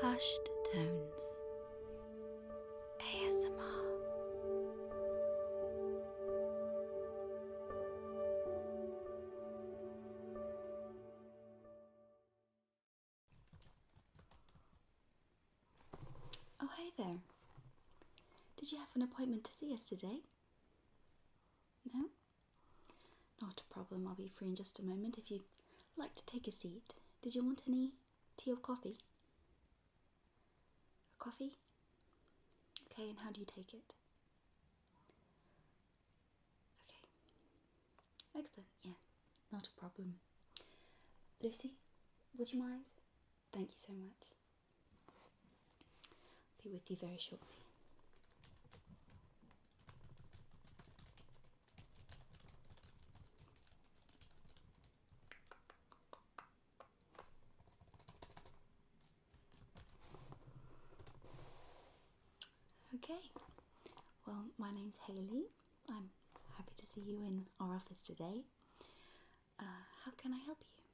Hushed Tones ASMR Oh, hey there. Did you have an appointment to see us today? No? Not a problem, I'll be free in just a moment. If you'd like to take a seat, did you want any tea or coffee? A coffee? Okay, and how do you take it? Okay. Excellent, yeah, not a problem. Lucy, would you mind? Thank you so much. I'll be with you very shortly. Okay, well, my name's Hayley. I'm happy to see you in our office today. Uh, how can I help you?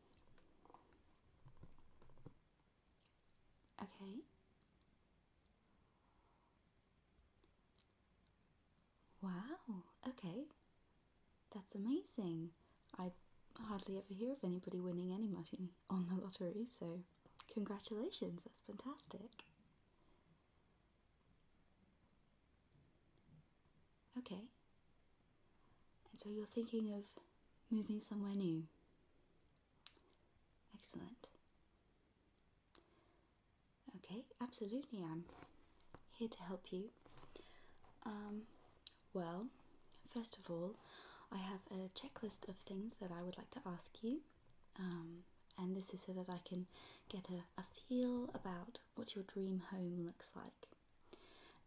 Okay. Wow, okay. That's amazing. I hardly ever hear of anybody winning any money on the lottery, so congratulations, that's fantastic. Okay. And so you're thinking of moving somewhere new. Excellent. Okay, absolutely. I'm here to help you. Um, well, first of all, I have a checklist of things that I would like to ask you. Um, and this is so that I can get a, feel about what your dream home looks like.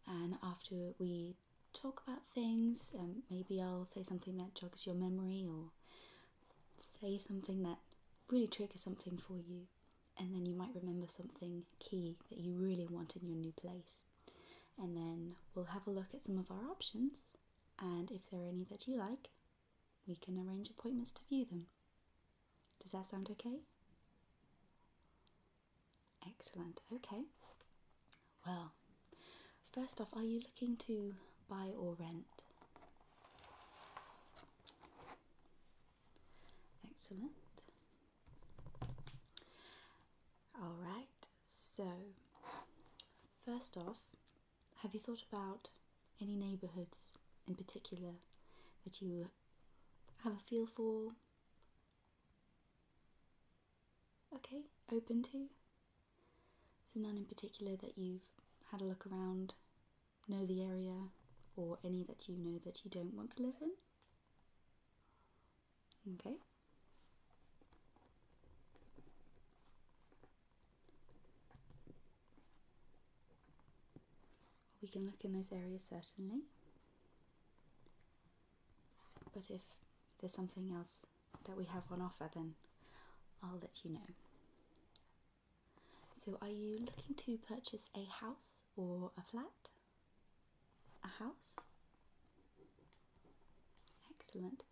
And after we talk about things, um, maybe I'll say something that jogs your memory or say something that really triggers something for you, and then you might remember something key that you really want in your new place. And then we'll have a look at some of our options, and if there are any that you like, we can arrange appointments to view them. Does that sound okay? Excellent. Okay. Well, first off, are you looking to buy or rent? Excellent. All right, so first off, have you thought about any neighbourhoods in particular that you have a feel for? Okay, open to? So, none in particular that you've had a look around, know the area, or any that you know that you don't want to live in? Okay. We can look in those areas certainly, but if there's something else that we have on offer, then I'll let you know. So, are you looking to purchase a house or a flat? A house? Excellent.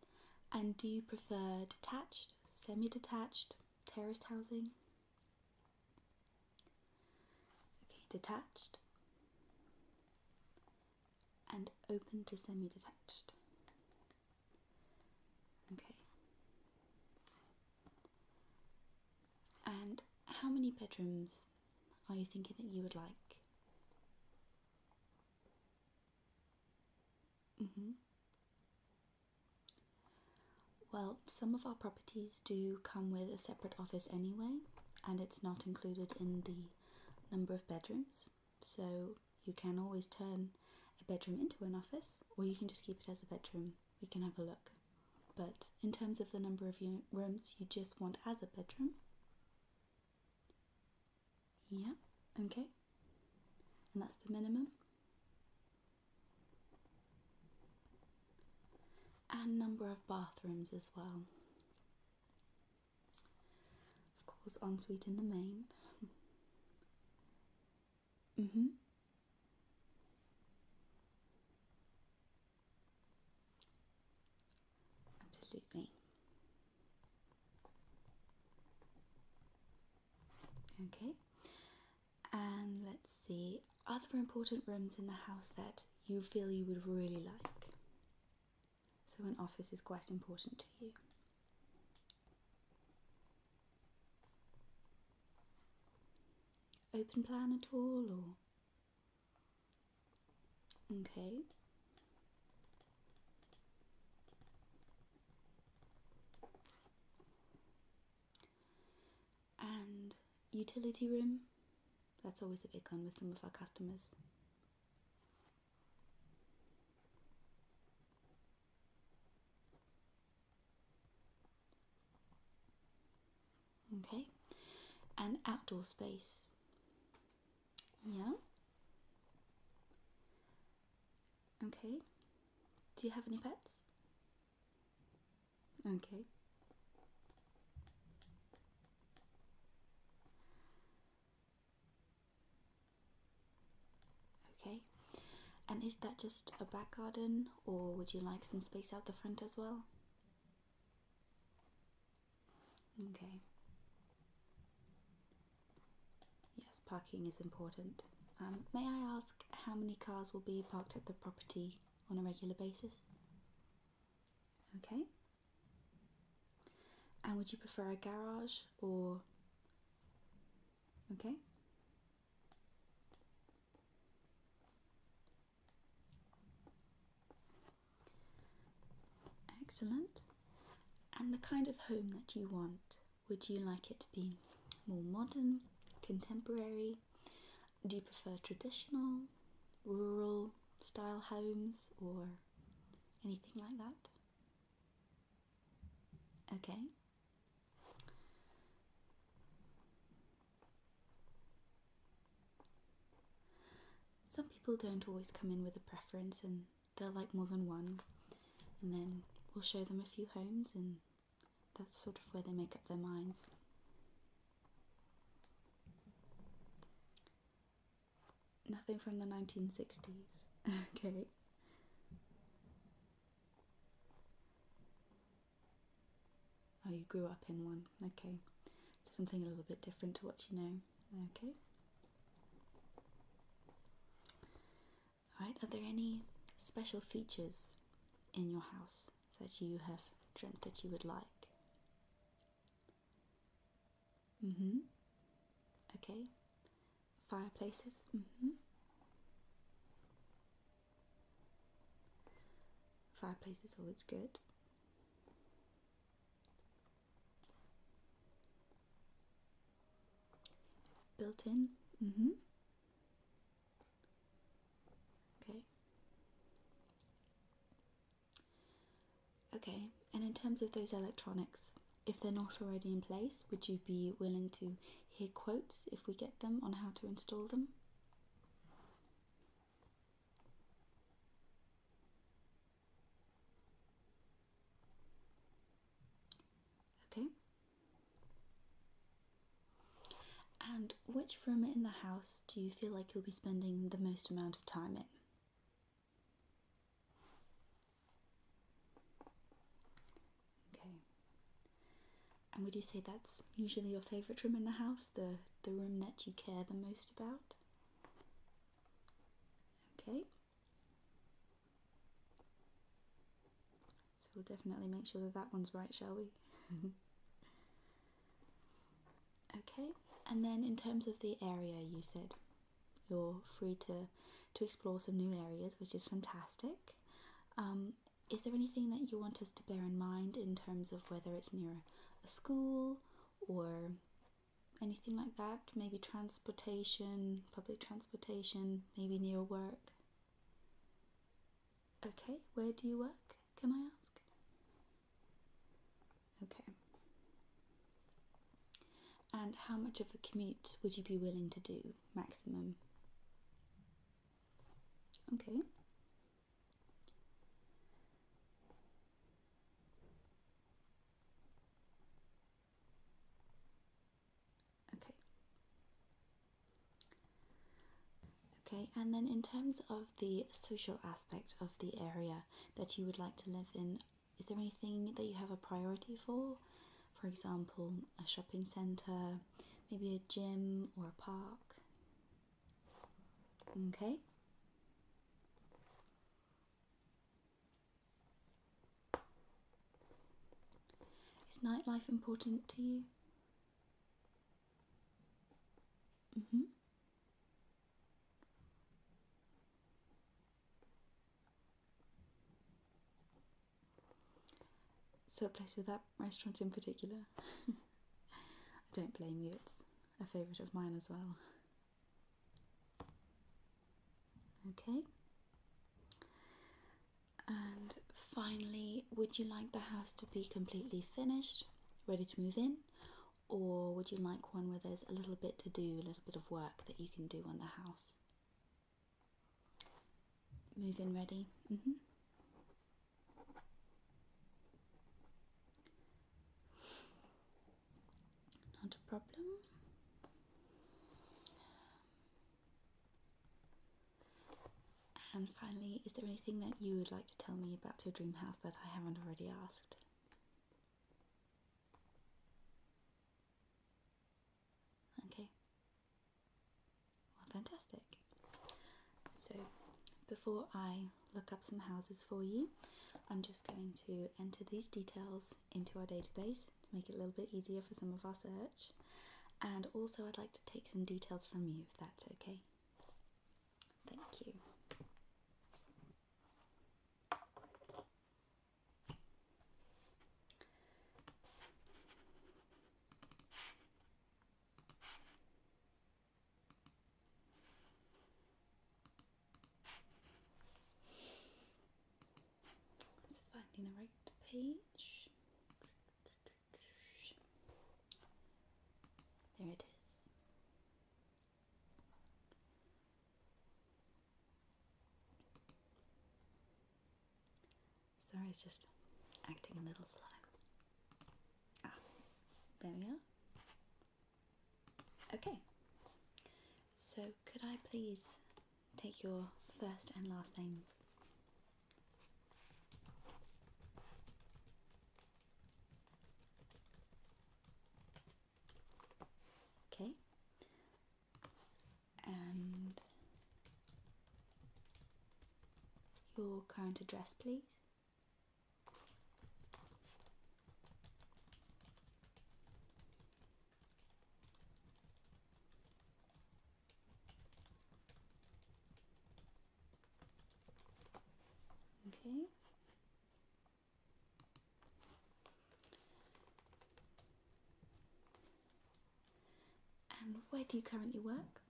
And do you prefer detached, semi detached, terraced housing? Okay, detached and open to semi detached. Okay. And how many bedrooms are you thinking that you would like? Mm-hmm. well, some of our properties do come with a separate office anyway, and it's not included in the number of bedrooms. So you can always turn a bedroom into an office, or you can just keep it as a bedroom. We can have a look. But in terms of the number of rooms you just want as a bedroom, yeah, okay. And that's the minimum. And number of bathrooms as well. Of course, ensuite in the main. mm hmm. Absolutely. Okay, and let's see other important rooms in the house that you feel you would really like so an office is quite important to you. Open plan at all, or okay. And utility room, that's always a big one with some of our customers. Okay, and outdoor space. Yeah. Okay. Do you have any pets? Okay. Okay, and is that just a back garden, or would you like some space out the front as well? Okay. Yes, parking is important. Um, may I ask how many cars will be parked at the property on a regular basis? Okay. And would you prefer a garage or. Okay? Excellent. And the kind of home that you want. Would you like it to be more modern, contemporary? Do you prefer traditional, rural style homes, or anything like that? Okay. Some people don't always come in with a preference and they'll like more than one, and then we'll show them a few homes, and that's sort of where they make up their minds. Nothing from the 1960s. okay. Oh, you grew up in one. Okay. So something a little bit different to what you know. Okay. Alright, are there any special features in your house that you have dreamt that you would like? Mm hmm. Okay. Fireplaces. Mm hmm. Fireplace always good. Built in. Mm hmm. Okay. Okay, and in terms of those electronics, if they're not already in place, would you be willing to hear quotes if we get them on how to install them? Okay. And which room in the house do you feel like you'll be spending the most amount of time in? Okay. And would you say that's usually your favourite room in the house, the the room that you care the most about? Okay. So we'll definitely make sure that that one's right, shall we? okay. And then in terms of the area, you said you're free to to explore some new areas, which is fantastic. Um, is there anything that you want us to bear in mind in terms of whether it's near a school or anything like that? Maybe transportation, public transportation, maybe near work. Okay, where do you work? Can I ask? Okay. And how much of a commute would you be willing to do maximum? Okay. Okay. Okay, and then in terms of the social aspect of the area that you would like to live in, is there anything that you have a priority for? For example, a shopping centre, maybe a gym or a park. Okay. Is nightlife important to you? Mm hmm so a place with that restaurant in particular. I don't blame you, it's a favourite of mine as well. Okay. And finally, would you like the house to be completely finished, ready to move in? Or would you like one where there's a little bit to do, a little bit of work? that you can do on the house. Move in ready. Mm-hmm. Not a problem. And finally, is there anything that you would like to tell me about your dream house that I haven't already asked? Okay. Well, fantastic. So, before I look up some houses for you, I'm just going to enter these details into our database to make it a little bit easier for some of our search. And also, I'd like to take some details from you if that's okay. Thank you. It's finding the right page. There it is. Sorry, it's just acting a little slow. Ah, there we are. Okay, so could I please take your first and last names? Okay. And your current address, please. Okay. And where do you currently work?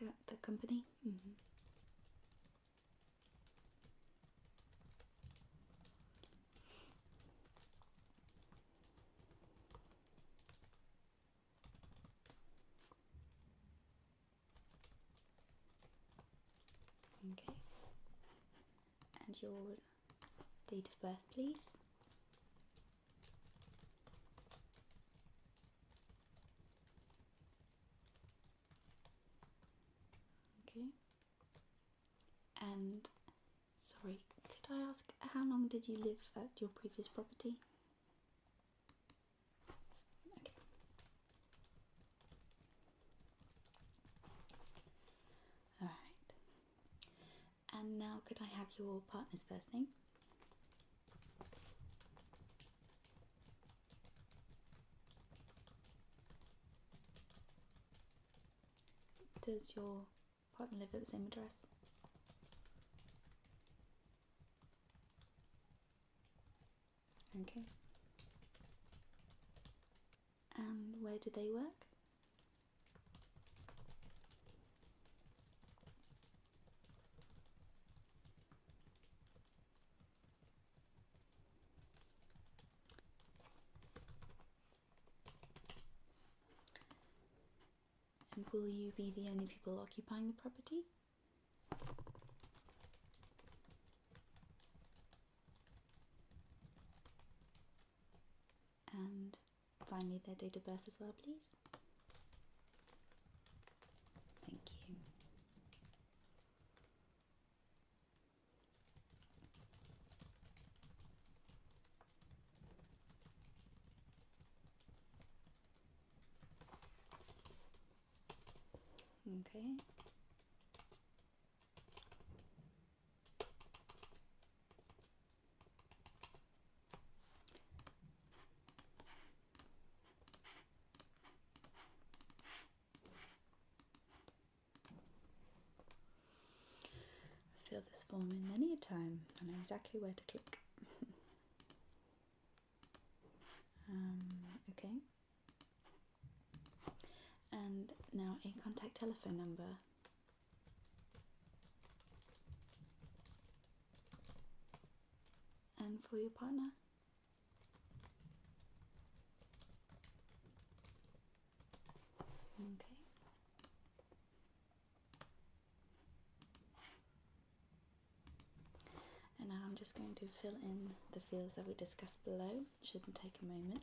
The, the company? Mm-hmm. Okay. And your date of birth, please. Okay. And sorry, could I ask how long did you live at your previous property? All right. And now, could I have your partner's first name? Does your partner live at the same address? Okay. And where do they work? And will you be the only people occupying the property? And finally, their date of birth as well, please. Thank you. Okay. I feel this in many a time. I know exactly where to click. um, okay and now a contact telephone number. And for your partner. Okay. And now I'm just going to fill in the fields that we discussed below shouldn't take a moment.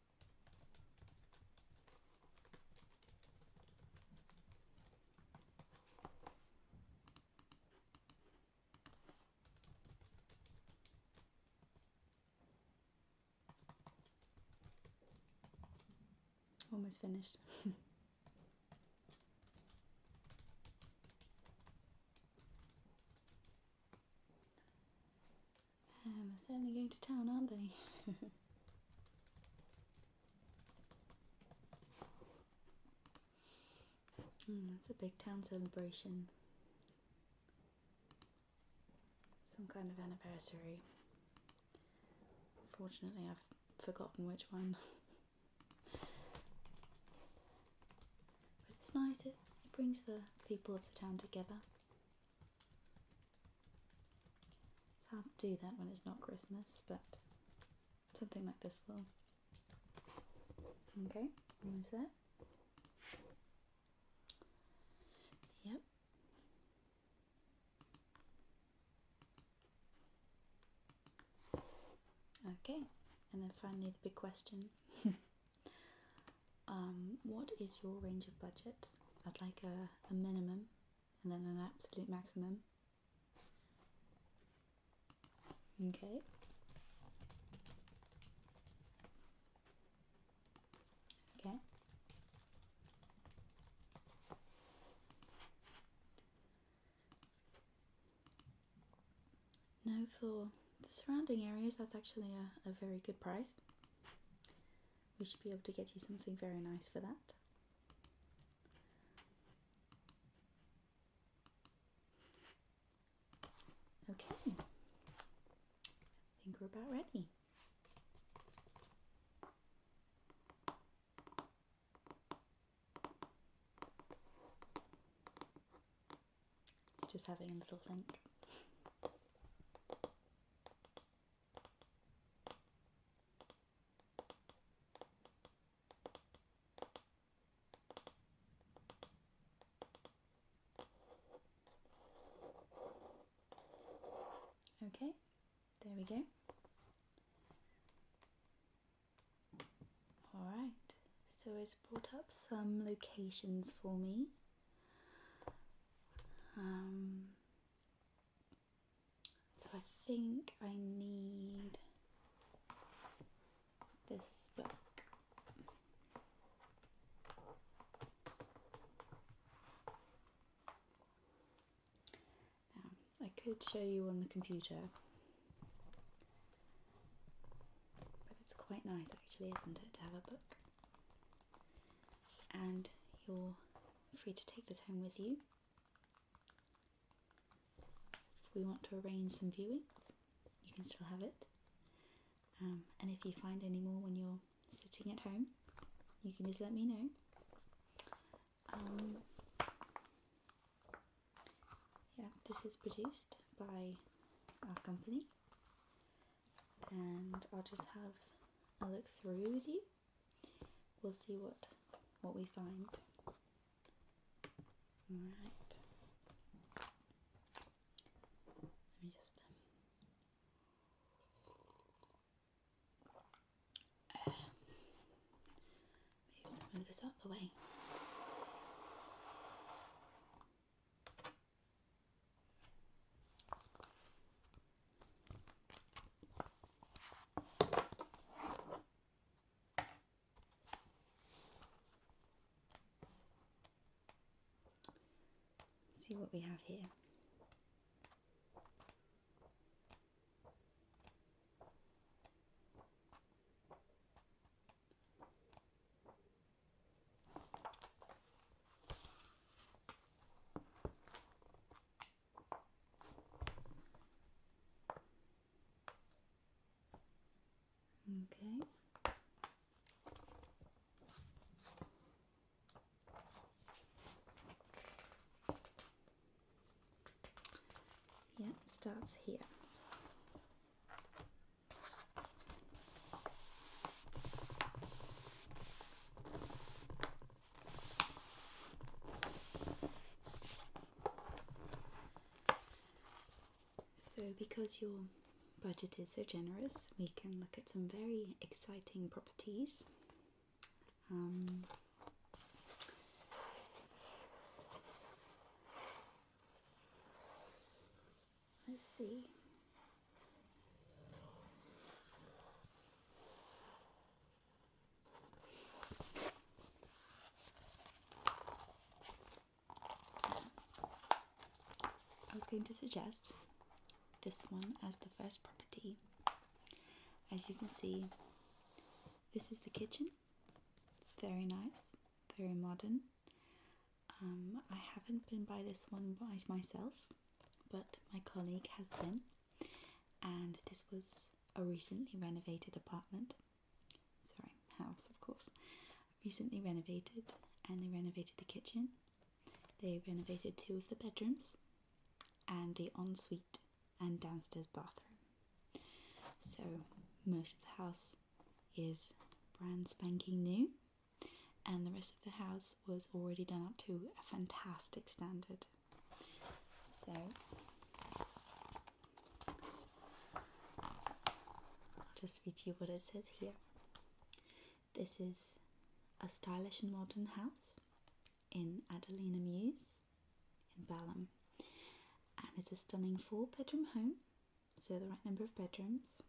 Almost finished. Um, they're certainly going to town, aren't they? mm, it's a big town celebration. Some kind of anniversary. Fortunately, I've forgotten which one. but it's nice, it brings the people of the town together. It's hard to do that when it's not Christmas, but something like this will. Okay, almost there. Yep. Okay, and then finally the big question. um, what is your range of budget? I'd like a, a minimum and then an absolute maximum. Okay. Okay. Now for the surrounding areas, that's actually a, a very good price we should be able to get you something very nice for that. Okay, I think we're about ready. It's just having a little think. Okay, there we go. Alright, so it's brought up some locations for me. Um, so I think I need this book. I could show you on the computer, but it's quite nice actually, isn't it, to have a book? and you're free to take this home with you. If we want to arrange some viewings, you can still have it. Um, and if you find any more when you're sitting at home, you can just let me know. Um, yeah, this is produced by our company, and I'll just have a look through with you we'll see what what we find. All right. Let me just. Um, move some of this out the way see what we have here. Okay. Yeah, starts here. So, because your budget is so generous, we can look at some very exciting properties. Um, let's see. I was going to suggest this one as the first property. As you can see, this is the kitchen. It's very nice, very modern. Um, I haven't been by this one myself, but my colleague has been, and this was a recently renovated apartment. Sorry, house, of course. Recently renovated, and they renovated the kitchen, they renovated two of the bedrooms, and the ensuite and downstairs bathroom. So, most of the house is brand spanking new and the rest of the house was already done up to a fantastic standard. So I'll just read you what it says here. This is a stylish and modern house in Adelina Muse in Balham, and it's a stunning four bedroom home, so the right number of bedrooms,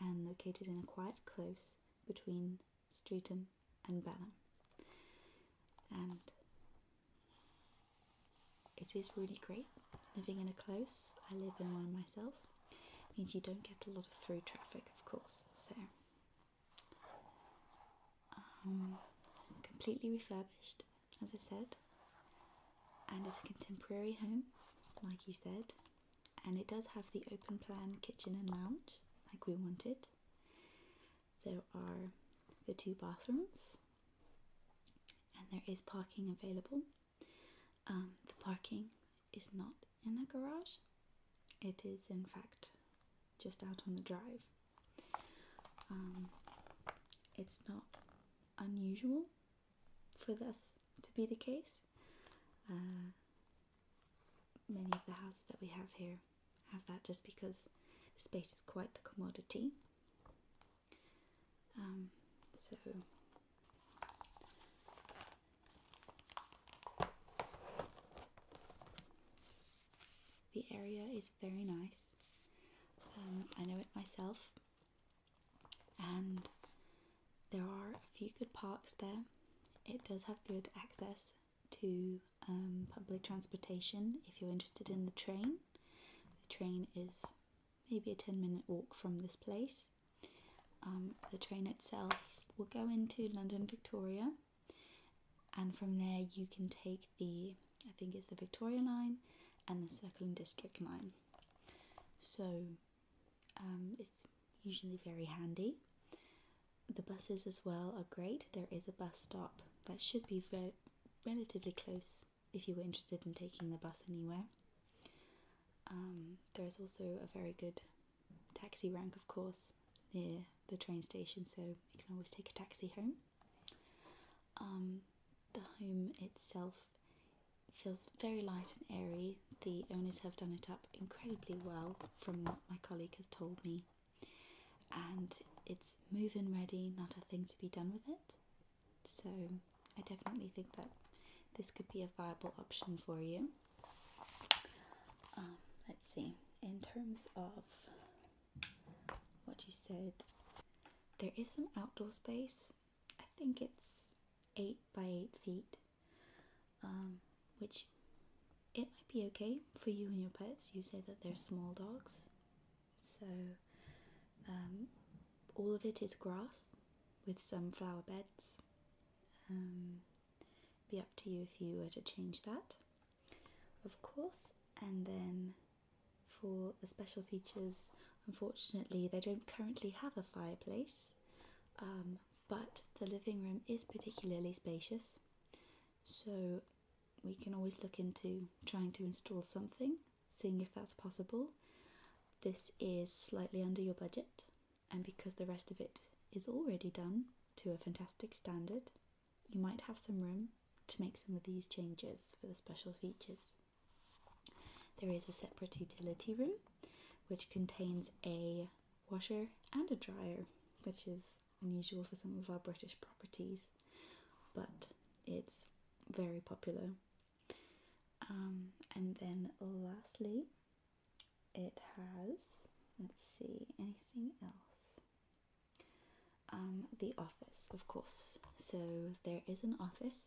and located in a quiet close between Streatham and Bella. And it is really great living in a close. I live in one myself. means you don't get a lot of through traffic, of course. So um, completely refurbished, as I said, and it's a contemporary home, like you said and it does have the open plan kitchen and lounge like we wanted. There are the two bathrooms, and there is parking available. Um, the parking is not in a garage, it is in fact just out on the drive. Um, it's not unusual for this to be the case. Uh, many of the houses that we have here have that just because space is quite the commodity. Um, so the area is very nice. Um, I know it myself, and there are a few good parks there. It does have good access to um, public transportation if you're interested in the train. The train is maybe a 10 minute walk from this place. Um, the train itself will go into London Victoria, and from there you can take the I think it's the Victoria line and the Circle District line. So um, it's usually very handy. The buses as well are great. There is a bus stop that should be re relatively close if you were interested in taking the bus anywhere. Um, there is also a very good taxi rank, of course, near the train station, so you can always take a taxi home. Um, the home itself feels very light and airy the owners have done it up incredibly well, from what my colleague has told me, and it's move in ready, not a thing to be done with it. So, I definitely think that this could be a viable option for you. Um, let's see, in terms of what you said, there is some outdoor space. I think it's eight by eight feet um, which it might be okay for you and your pets. You say that they're small dogs, so um, all of it is grass with some flower beds. Um, be up to you if you were to change that, of course. And then for the special features, unfortunately, they don't currently have a fireplace but the living room is particularly spacious, so we can always look into trying to install something, seeing if that's possible. This is slightly under your budget, and because the rest of it is already done to a fantastic standard, you might have some room to make some of these changes for the special features. There is a separate utility room which contains a washer and a dryer, which is unusual for some of our British properties, but it's very popular. Um, and then lastly, it has let's see anything else. Um, the office, of course. So there is an office.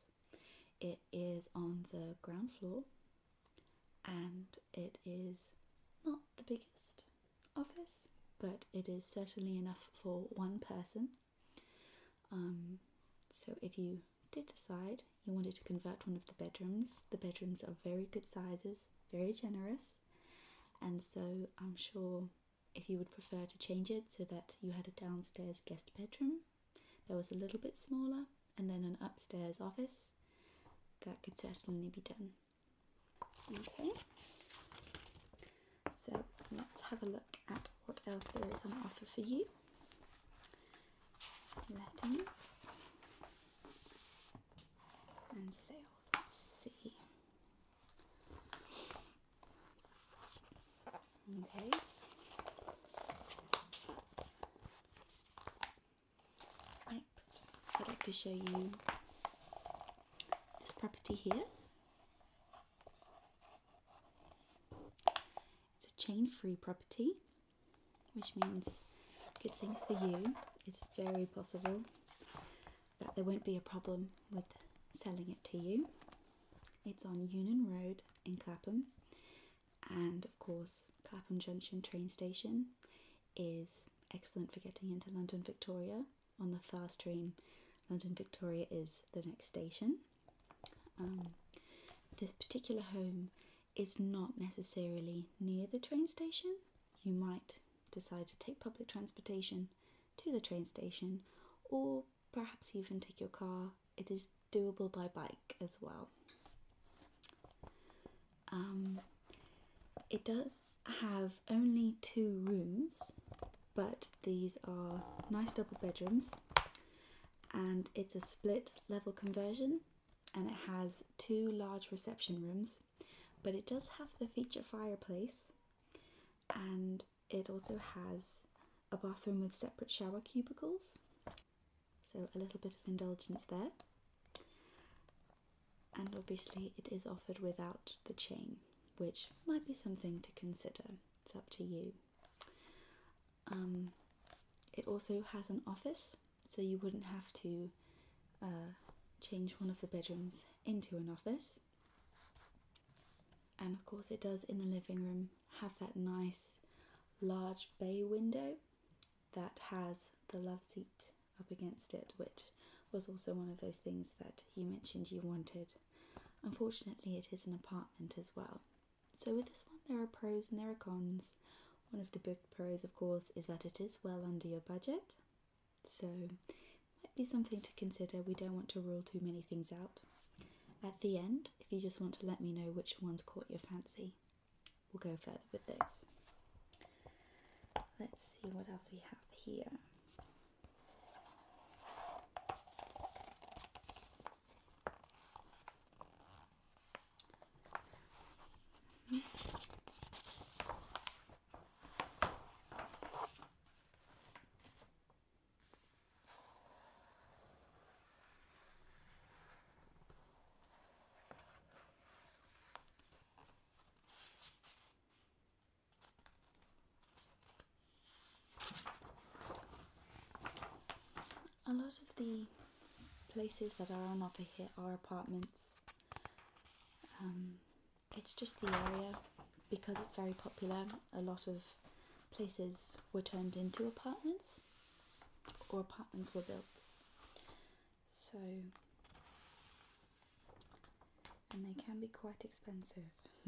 It is on the ground floor and it is not the biggest office, but it is certainly enough for one person. Um, so if you did decide you wanted to convert one of the bedrooms, the bedrooms are very good sizes, very generous, and so I'm sure if you would prefer to change it so that you had a downstairs guest bedroom that was a little bit smaller, and then an upstairs office, that could certainly be done. Okay, so let's have a look at what else there is on offer for you. Lettings and sales. Let's see. Okay. Next, I'd like to show you this property here. It's a chain free property, which means good things for you. It's very possible that there won't be a problem with selling it to you. It's on Union Road in Clapham and, of course, Clapham Junction train station is excellent for getting into London Victoria on the fast train. London Victoria is the next station. Um, this particular home is not necessarily near the train station. You might decide to take public transportation to the train station or perhaps even take your car. It is doable by bike as well. Um, it does have only two rooms, but these are nice double bedrooms, and it's a split level conversion, and it has two large reception rooms, but it does have the feature fireplace, and it also has a bathroom with separate shower cubicles. So a little bit of indulgence there. And obviously, it is offered without the chain, which might be something to consider. It's up to you. Um, it also has an office, so you wouldn't have to uh, change one of the bedrooms into an office. And of course, it does in the living room have that nice large bay window that has the love seat up against it, which was also one of those things that you mentioned you wanted. Unfortunately, it is an apartment as well. So, with this one, there are pros and there are cons. One of the big pros, of course, is that it is well under your budget, so might be something to consider. We don't want to rule too many things out. At the end, if you just want to let me know which ones caught your fancy, we'll go further with this. Let's see what else we have here. A lot of the places that are on offer here are apartments. Um, it's just the area because it's very popular. A lot of places were turned into apartments or apartments were built. So, and they can be quite expensive.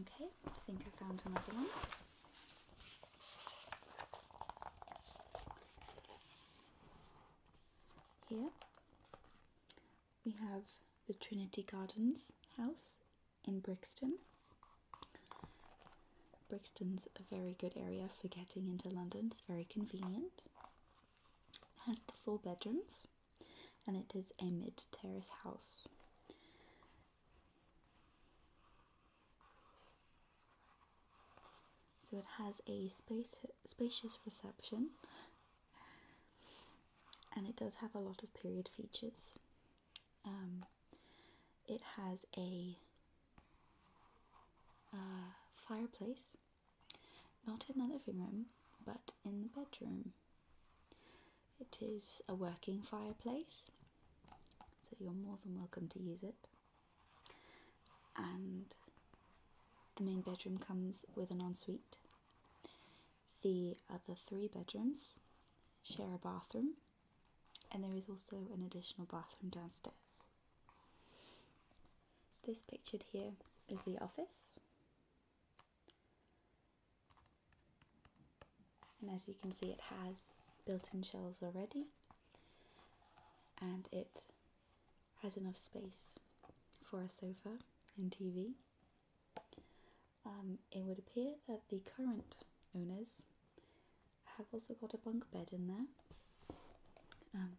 okay, I think I found another one. Here, we have the Trinity Gardens house in Brixton. Brixton's a very good area for getting into London, it's very convenient. It has the four bedrooms and it is a mid terrace house. So it has a space, spacious reception and it does have a lot of period features. Um, it has a uh, fireplace, not in the living room, but in the bedroom. It is a working fireplace, so you're more than welcome to use it. And the main bedroom comes with an ensuite. The other three bedrooms share a bathroom, and there is also an additional bathroom downstairs. This pictured here is the office. And as you can see, it has built in shelves already, and it has enough space for a sofa and TV. Um, it would appear that the current owners have also got a bunk bed in there. Um,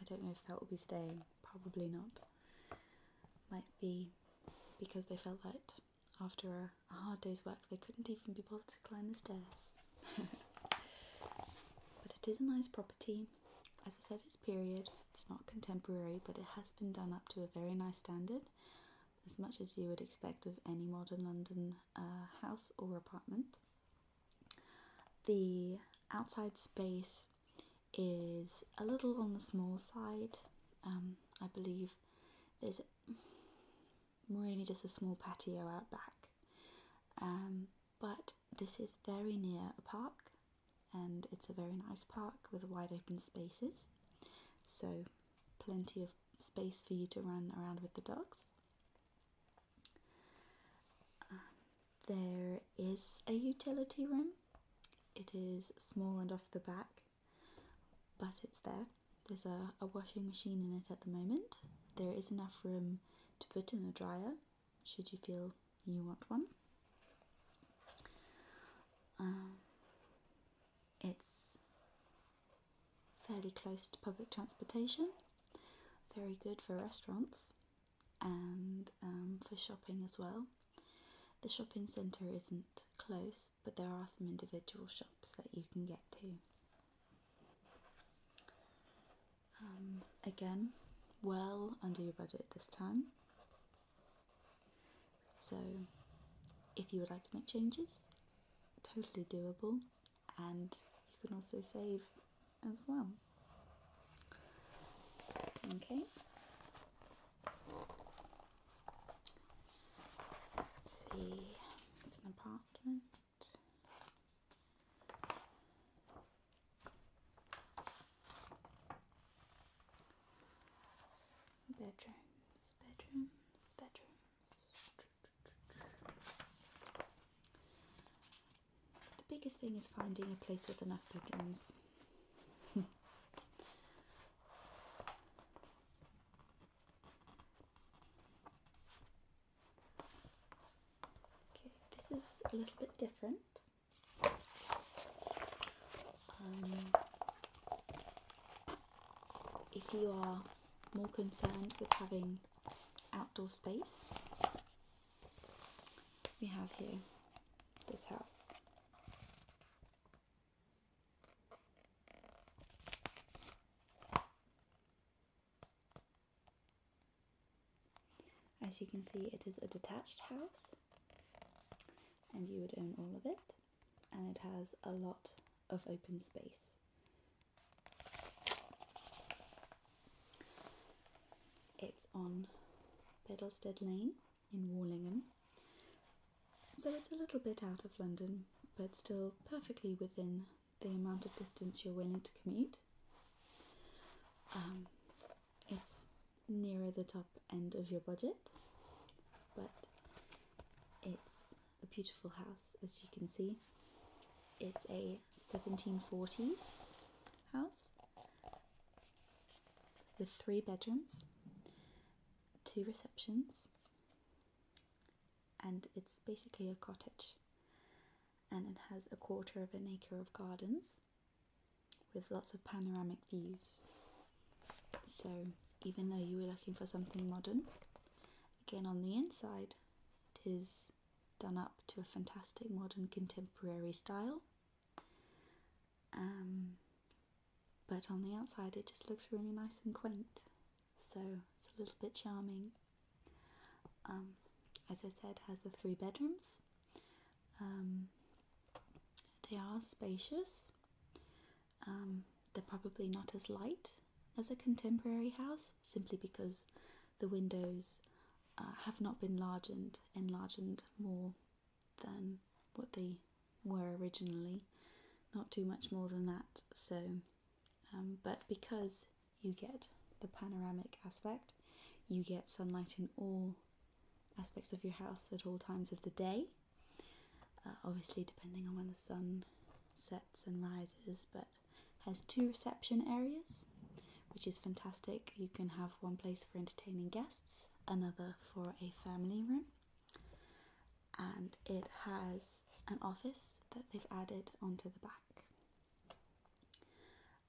I don't know if that will be staying, probably not. Might be because they felt that after a hard day's work they couldn't even be bothered to climb the stairs. but it is a nice property. As I said, it's period. It's not contemporary, but it has been done up to a very nice standard, as much as you would expect of any modern London uh, house or apartment. The outside space is a little on the small side. Um, I believe there's really just a small patio out back. Um, but this is very near a park, and it's a very nice park with wide open spaces, so plenty of space for you to run around with the dogs. Um, there is a utility room. It is small and off the back, but it's there. There's a, a washing machine in it at the moment. There is enough room to put in a dryer should you feel you want one? Um, it's fairly close to public transportation, very good for restaurants and um, for shopping as well. The shopping centre isn't close, but there are some individual shops that you can get to. Um, again, well under your budget this time. So, if you would like to make changes, totally doable, and you can also save as well. Okay. see, it's an apartment. Bedrooms, bedrooms, bedrooms. The biggest thing is finding a place with enough bedrooms. okay, this is a little bit different. Um, if you are more concerned with having outdoor space, we have here this house. As you can see, it is a detached house and you would own all of it. And it has a lot of open space. It's on Biddlestead Lane in Wallingham. So it's a little bit out of London, but still perfectly within the amount of distance you're willing to commute. Um, it's nearer the top end of your budget, but it's a beautiful house as you can see. It's a 1740s house with three bedrooms, two receptions, and it's basically a cottage. And it has a quarter of an acre of gardens with lots of panoramic views. So, even though you were looking for something modern, again on the inside, it is done up to a fantastic modern contemporary style. Um, but on the outside, it just looks really nice and quaint, so it's a little bit charming. Um, as I said, has the three bedrooms um, they are spacious. Um, they're probably not as light as a contemporary house, simply because the windows uh, have not been largened, enlargened more than what they were originally. Not too much more than that. So, um, but because you get the panoramic aspect, you get sunlight in all aspects of your house at all times of the day. Uh, obviously, depending on when the sun sets and rises, but has two reception areas, which is fantastic. You can have one place for entertaining guests, another for a family room, and it has an office that they've added onto the back.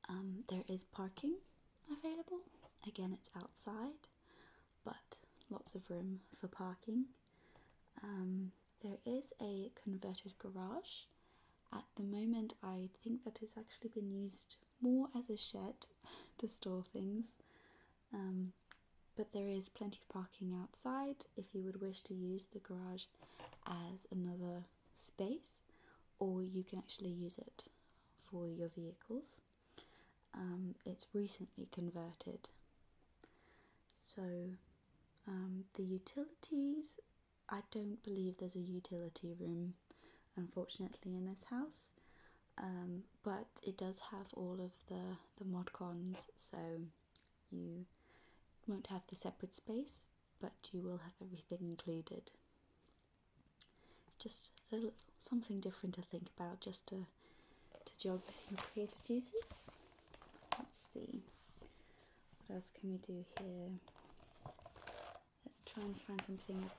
Um, there is parking available. Again, it's outside but lots of room for parking. Um, there is a converted garage. At the moment, I think that it's actually been used more as a shed to store things. Um, but there is plenty of parking outside if you would wish to use the garage as another space, or you can actually use it for your vehicles. Um, it's recently converted. So um, the utilities, I don't believe there's a utility room, unfortunately, in this house. Um, but it does have all of the, the mod cons, so you won't have the separate space, but you will have everything included. It's just something different to think about, just to to jog your creative juices. Let's see what else can we do here. Let's try and find something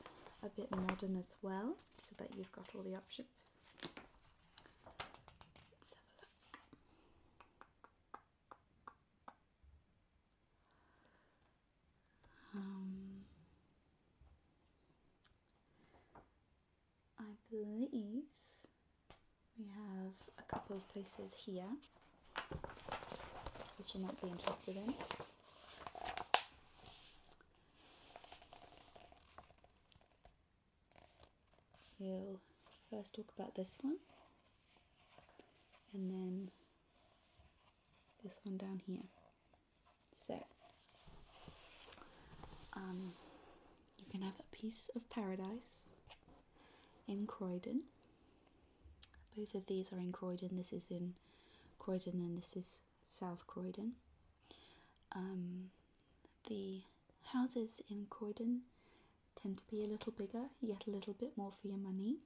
a bit modern as well, so that you've got all the options. Let's have a look. Um, I believe we have a couple of places here which you might be interested in. We'll first talk about this one and then this one down here. So, um, you can have a piece of paradise in Croydon. Both of these are in Croydon. This is in Croydon, and this is South Croydon. Um, the houses in Croydon tend to be a little bigger. yet a little bit more for your money.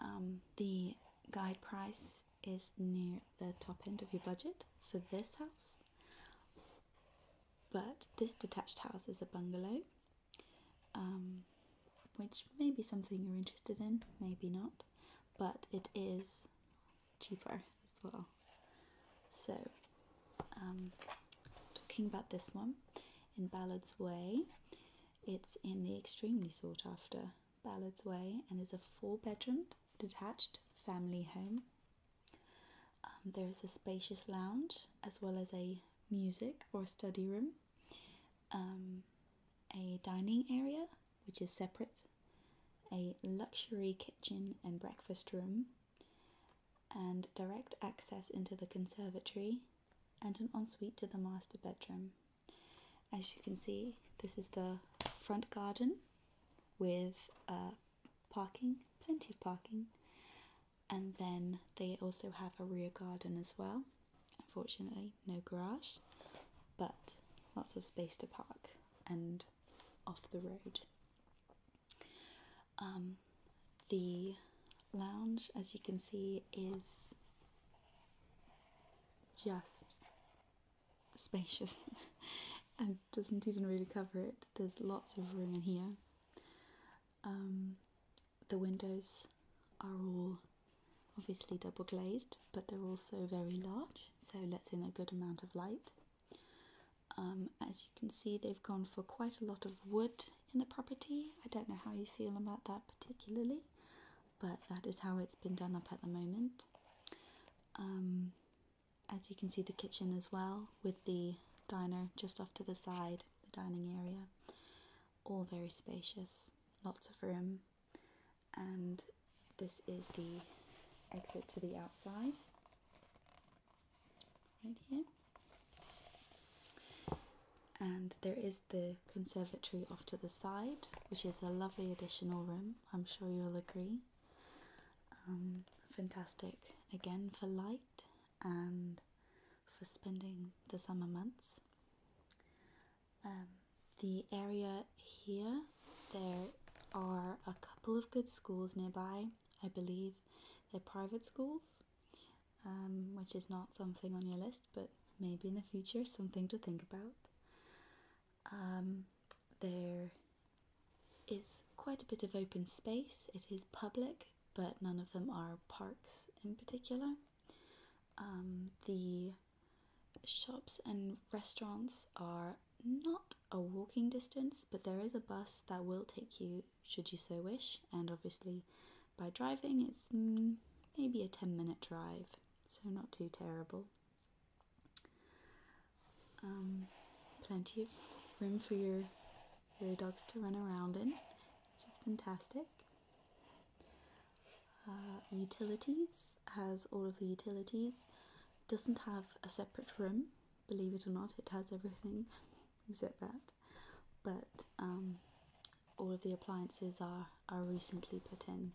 Um, the guide price is near the top end of your budget for this house, but this detached house is a bungalow, um, which may be something you're interested in, maybe not, but it is cheaper as well. So, um, talking about this one in Ballard's Way, it's in the extremely sought after Ballards Way and is a four bedroom detached family home. Um, there is a spacious lounge as well as a music or study room, um, a dining area which is separate, a luxury kitchen and breakfast room, and direct access into the conservatory and an ensuite to the master bedroom. As you can see, this is the front garden with uh, parking, plenty of parking, and then they also have a rear garden as well. Unfortunately, no garage, but lots of space to park and off the road. Um, the lounge, as you can see, is just spacious and doesn't even really cover it. There's lots of room in here. Um, the windows are all obviously double glazed, but they're also very large, so lets in a good amount of light. Um, as you can see, they've gone for quite a lot of wood in the property. I don't know how you feel about that particularly but that is how it's been done up at the moment. Um, as you can see, the kitchen as well, with the diner just off to the side, the dining area. All very spacious, lots of room, and this is the exit to the outside, right here. And there is the conservatory off to the side, which is a lovely additional room, I'm sure you'll agree. Um, fantastic again for light and for spending the summer months. Um, the area here, there are a couple of good schools nearby. I believe they're private schools, um, which is not something on your list but maybe in the future, something to think about. Um, there is quite a bit of open space, it is public, but none of them are parks in particular. Um, the shops and restaurants are not a walking distance, but there is a bus that will take you, should you so wish, and obviously by driving it's mm, maybe a 10 minute drive so not too terrible. Um, plenty of room for your your dogs to run around in, which is fantastic. Uh, utilities has all of the utilities. Doesn't have a separate room, believe it or not. It has everything except that, but um, all of the appliances are are recently put in.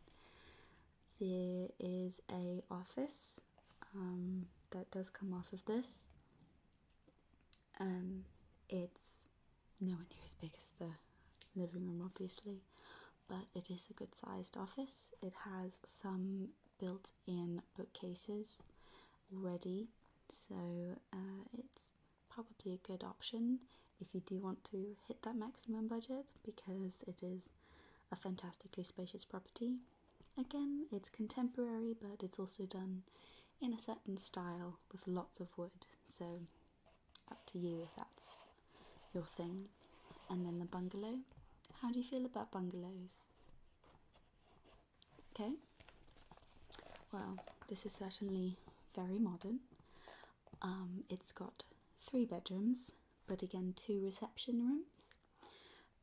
There is a office um, that does come off of this. Um, it's one here as big as the living room, obviously, but it is a good sized office. It has some built in bookcases already, so uh, it's probably a good option if you do want to hit that maximum budget because it is a fantastically spacious property. Again, it's contemporary but it's also done in a certain style with lots of wood, so up to you if that's your thing. And then the bungalow. How do you feel about bungalows? Okay, well, this is certainly very modern. Um, it's got three bedrooms, but again, two reception rooms.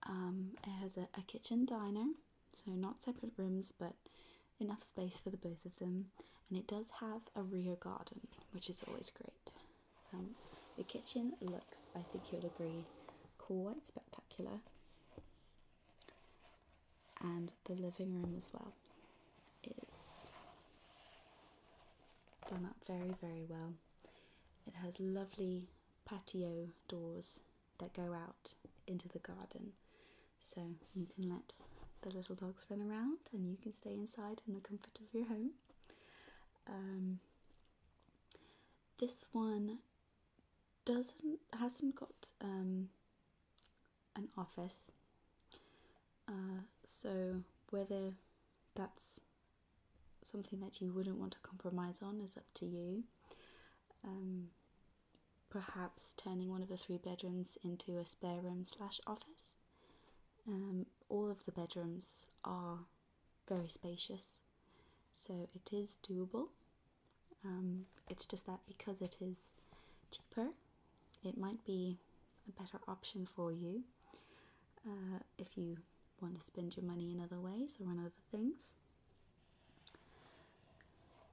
Um, it has a, kitchen diner, so not separate rooms, but enough space for the both of them. And it does have a rear garden, which is always great. Um, the kitchen looks, I think you'll agree, quite spectacular. And the living room as well is done up very, very well. It has lovely patio doors that go out into the garden, so you can let the little dogs run around and you can stay inside in the comfort of your home. Um, this one doesn't hasn't got um, an office uh, so whether that's something that you wouldn't want to compromise on is up to you. Um, perhaps turning one of the three bedrooms into a spare room slash office. Um, all of the bedrooms are very spacious, so it is doable. Um, it's just that because it is cheaper, it might be a better option for you. Uh, if you want to spend your money in other ways or on other things.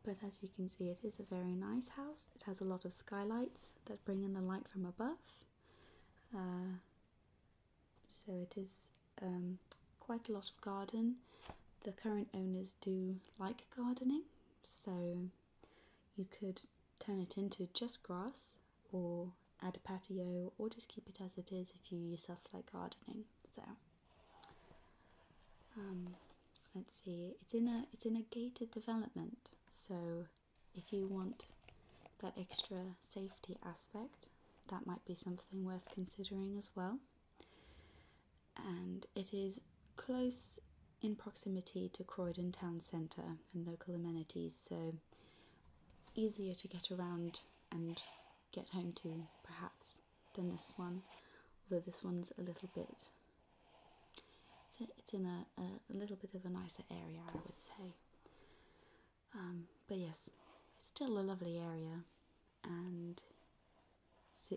But as you can see, it is a very nice house. It has a lot of skylights that bring in the light from above. Uh, so it is um, quite a lot of garden. The current owners do like gardening, so you could turn it into just grass or add a patio or just keep it as it is if you yourself like gardening. So um, let's see, it's in a it's in a gated development, so if you want that extra safety aspect, that might be something worth considering as well. And it is close in proximity to Croydon town centre and local amenities, so easier to get around and get home to perhaps than this one, although this one's a little bit. It's, in a, a, little bit of a nicer area, I would say. Um, but yes, it's still a lovely area, and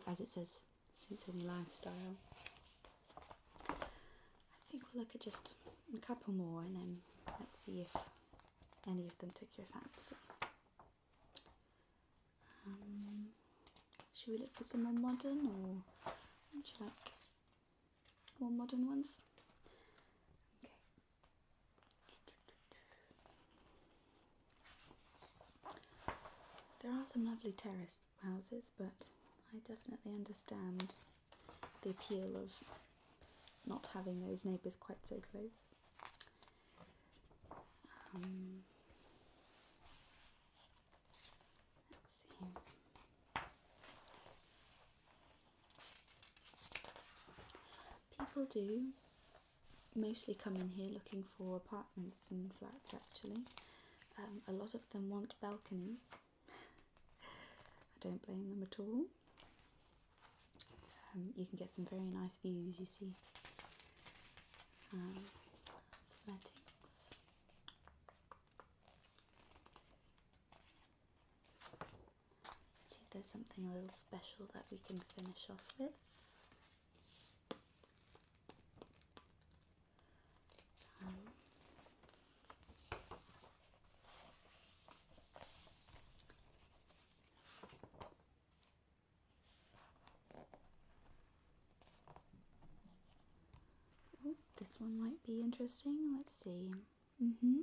as it says, suits any lifestyle. I think we'll look at just a couple more and then let's see if any of them took your fancy. Um, should we look for some more modern or would you like more modern ones? Okay. There are some lovely terraces houses, but I definitely understand the appeal of not having those neighbours quite so close. Um, People do mostly come in here looking for apartments and flats actually. Um, a lot of them want balconies I don't blame them at all. Um, you can get some very nice views, you see. Um, athletics. see if there's something a little special that we can finish off with this one might be interesting. Let's see. Mm-hmm.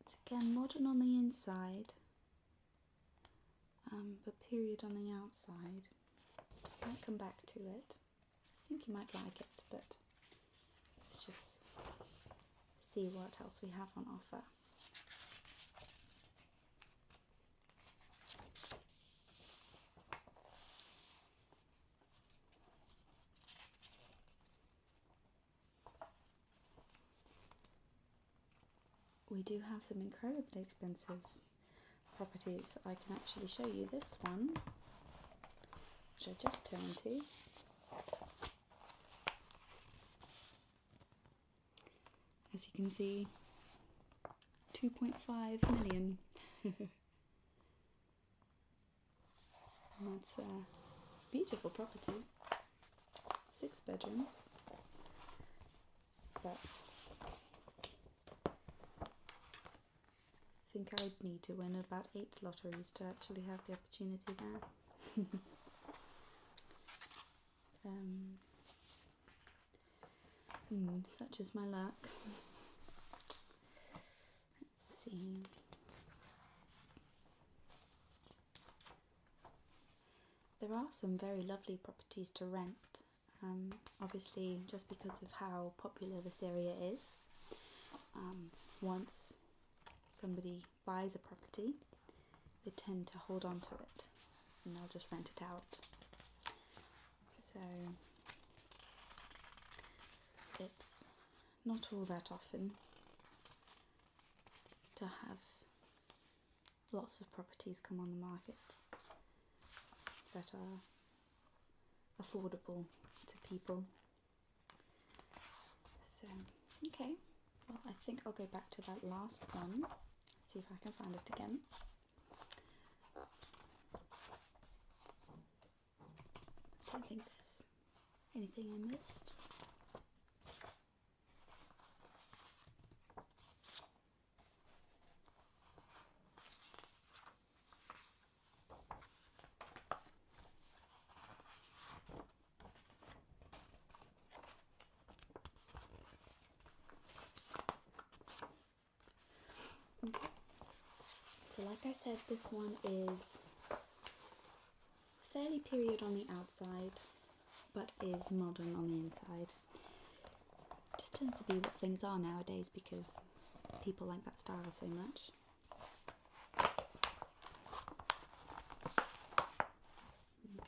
It's again modern on the inside, um, but period on the outside. I might come back to it. I think you might like it, but let's just see what else we have on offer. We do have some incredibly expensive properties. I can actually show you this one, which I just turned to. As you can see, 2.5 million. that's a beautiful property. Six bedrooms. But I think I would need to win about eight lotteries to actually have the opportunity there. um, hmm, such is my luck. Let's see. There are some very lovely properties to rent um, obviously, just because of how popular this area is, um, once somebody buys a property, they tend to hold on to it and they'll just rent it out. So it's not all that often to have lots of properties come on the market that are affordable to people. So, okay, well, I think I'll go back to that last one, see if I can find it again. don't think there's anything I missed. Okay. So like I said, this one is fairly period on the outside, but is modern on the inside. Just tends to be what things are nowadays because people like that style so much.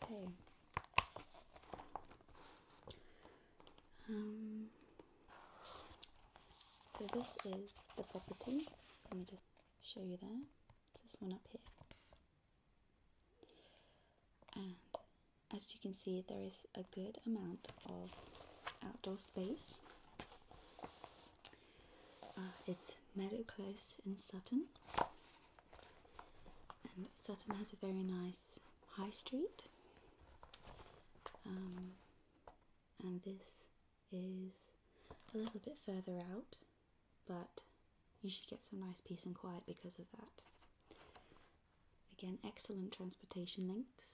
Okay. Um, so this is the property. Let me just show you there. this one up here. And as you can see, there is a good amount of outdoor space. Uh, it's Meadow Close in Sutton, and Sutton has a very nice high street. Um, and this is a little bit further out, but you should get some nice peace and quiet because of that. Again, excellent transportation links.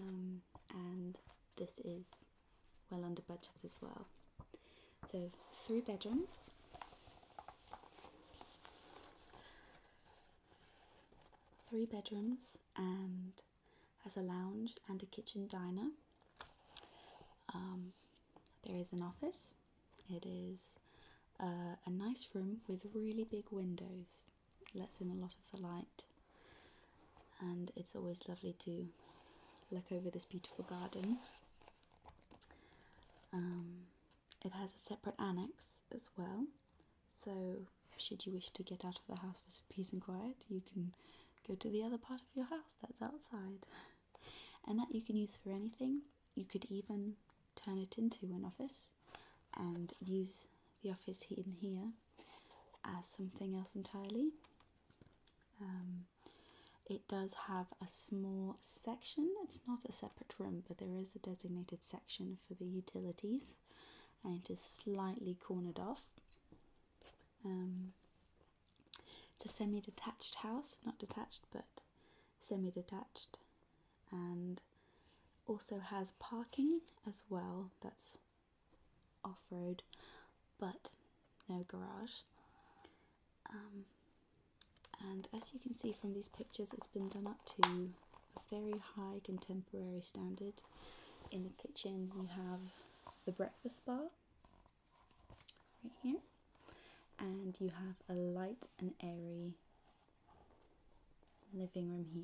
Um, and this is well under budget as well. So, three bedrooms. Three bedrooms and has a lounge and a kitchen diner. Um, there is an office. It is uh, a nice room with really big windows. Lets in a lot of the light, and it's always lovely to look over this beautiful garden. Um, it has a separate annex as well, so should you wish to get out of the house for some peace and quiet, you can go to the other part of your house that's outside, and that you can use for anything you could even turn it into an office and use the office in here as something else entirely. Um, it does have a small section, it's not a separate room, but there is a designated section for the utilities, and it is slightly cornered off. Um, it's a semi detached house, not detached, but semi detached, and also has parking as well that's off-road but no garage um, and as you can see from these pictures it's been done up to a very high contemporary standard in the kitchen you have the breakfast bar right here and you have a light and airy living room here.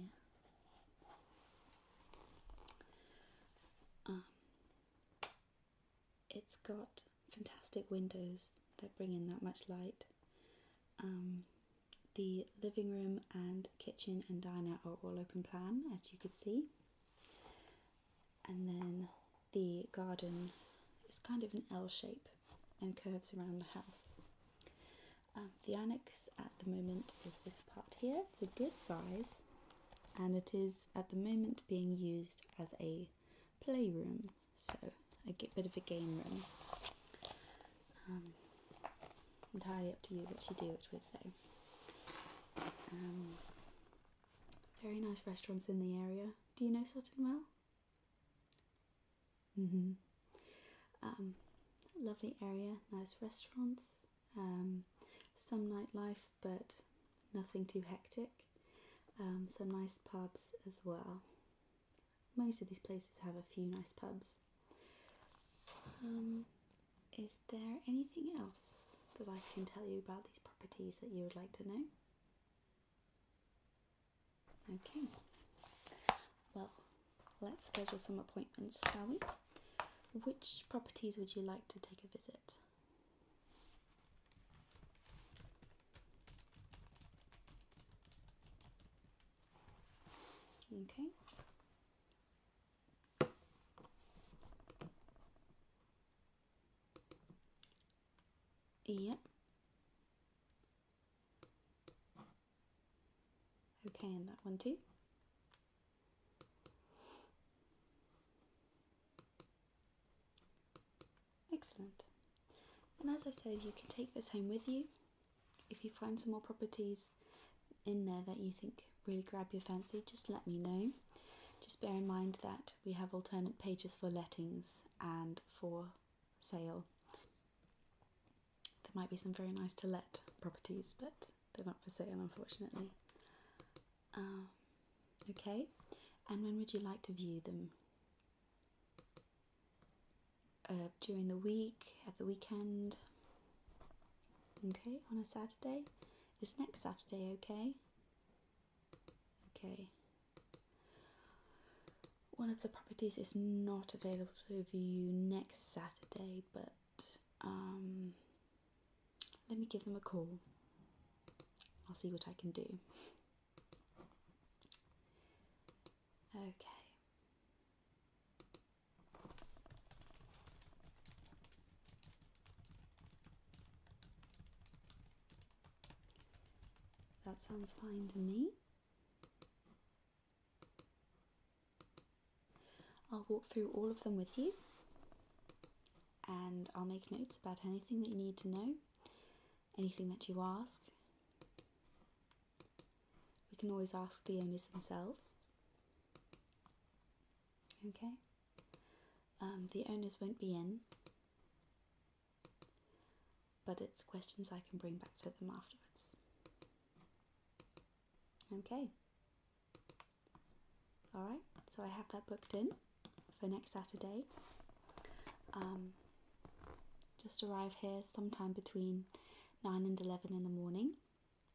Um, it's got fantastic windows that bring in that much light. Um, the living room and kitchen and diner are all open plan, as you could see. And then the garden is kind of an L shape and curves around the house. Um, the annex at the moment is this part here. It's a good size and it is at the moment being used as a playroom, so a bit of a game room. Um, entirely up to you what you do it with though. Um, very nice restaurants in the area. Do you know Sutton well? Mm-hmm. Um, lovely area, nice restaurants, um, some nightlife, but nothing too hectic. Um, some nice pubs as well. Most of these places have a few nice pubs. is there anything else that I can tell you about these properties that you would like to know? Okay, well, let's schedule some appointments, shall we? Which properties would you like to take a visit? Okay. Yep. Okay, and that one too. Excellent. And as I said, you can take this home with you. If you find some more properties in there that you think really grab your fancy, just let me know. Just bear in mind that we have alternate pages for lettings and for sale there might be some very nice to let properties, but they're not for sale, unfortunately. Um, okay, and when would you like to view them? Uh, during the week, at the weekend? Okay, on a Saturday? Is next Saturday okay? Okay, one of the properties is not available to view next Saturday, but um, let me give them a call. I'll see what I can do. Okay. That sounds fine to me. I'll walk through all of them with you and I'll make notes about anything that you need to know, anything that you ask. We can always ask the owners themselves. Okay? Um, the owners won't be in but it's questions I can bring back to them afterwards. Okay. Alright, so I have that booked in for next Saturday. Um, just arrive here sometime between 9 and 11 in the morning.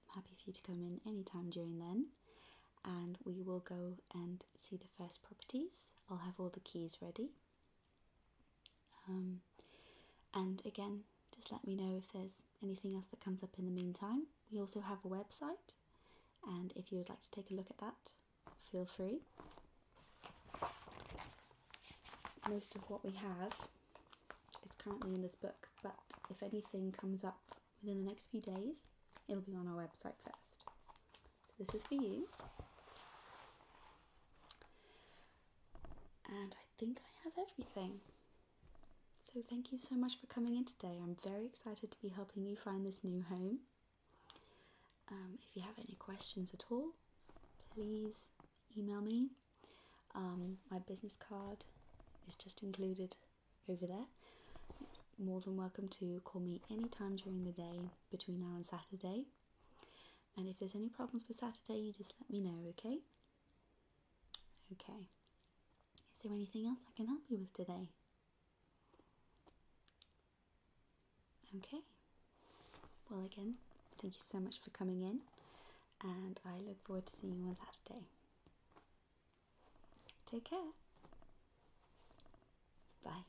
I'm happy for you to come in anytime during then. And we will go and see the first properties. I'll have all the keys ready um, and again, just let me know if there's anything else that comes up in the meantime. We also have a website, and if you would like to take a look at that, feel free. Most of what we have is currently in this book, but if anything comes up within the next few days, it'll be on our website first. So, this is for you. And I think I have everything. So, thank you so much for coming in today. I'm very excited to be helping you find this new home. Um, if you have any questions at all, please email me. Um, my business card is just included over there. More than welcome to call me any time during the day between now and Saturday. And if there's any problems for Saturday, you just let me know, okay? Okay. Is there anything else I can help you with today? Okay. Well, again, thank you so much for coming in, and I look forward to seeing you on Saturday. Take care. Bye.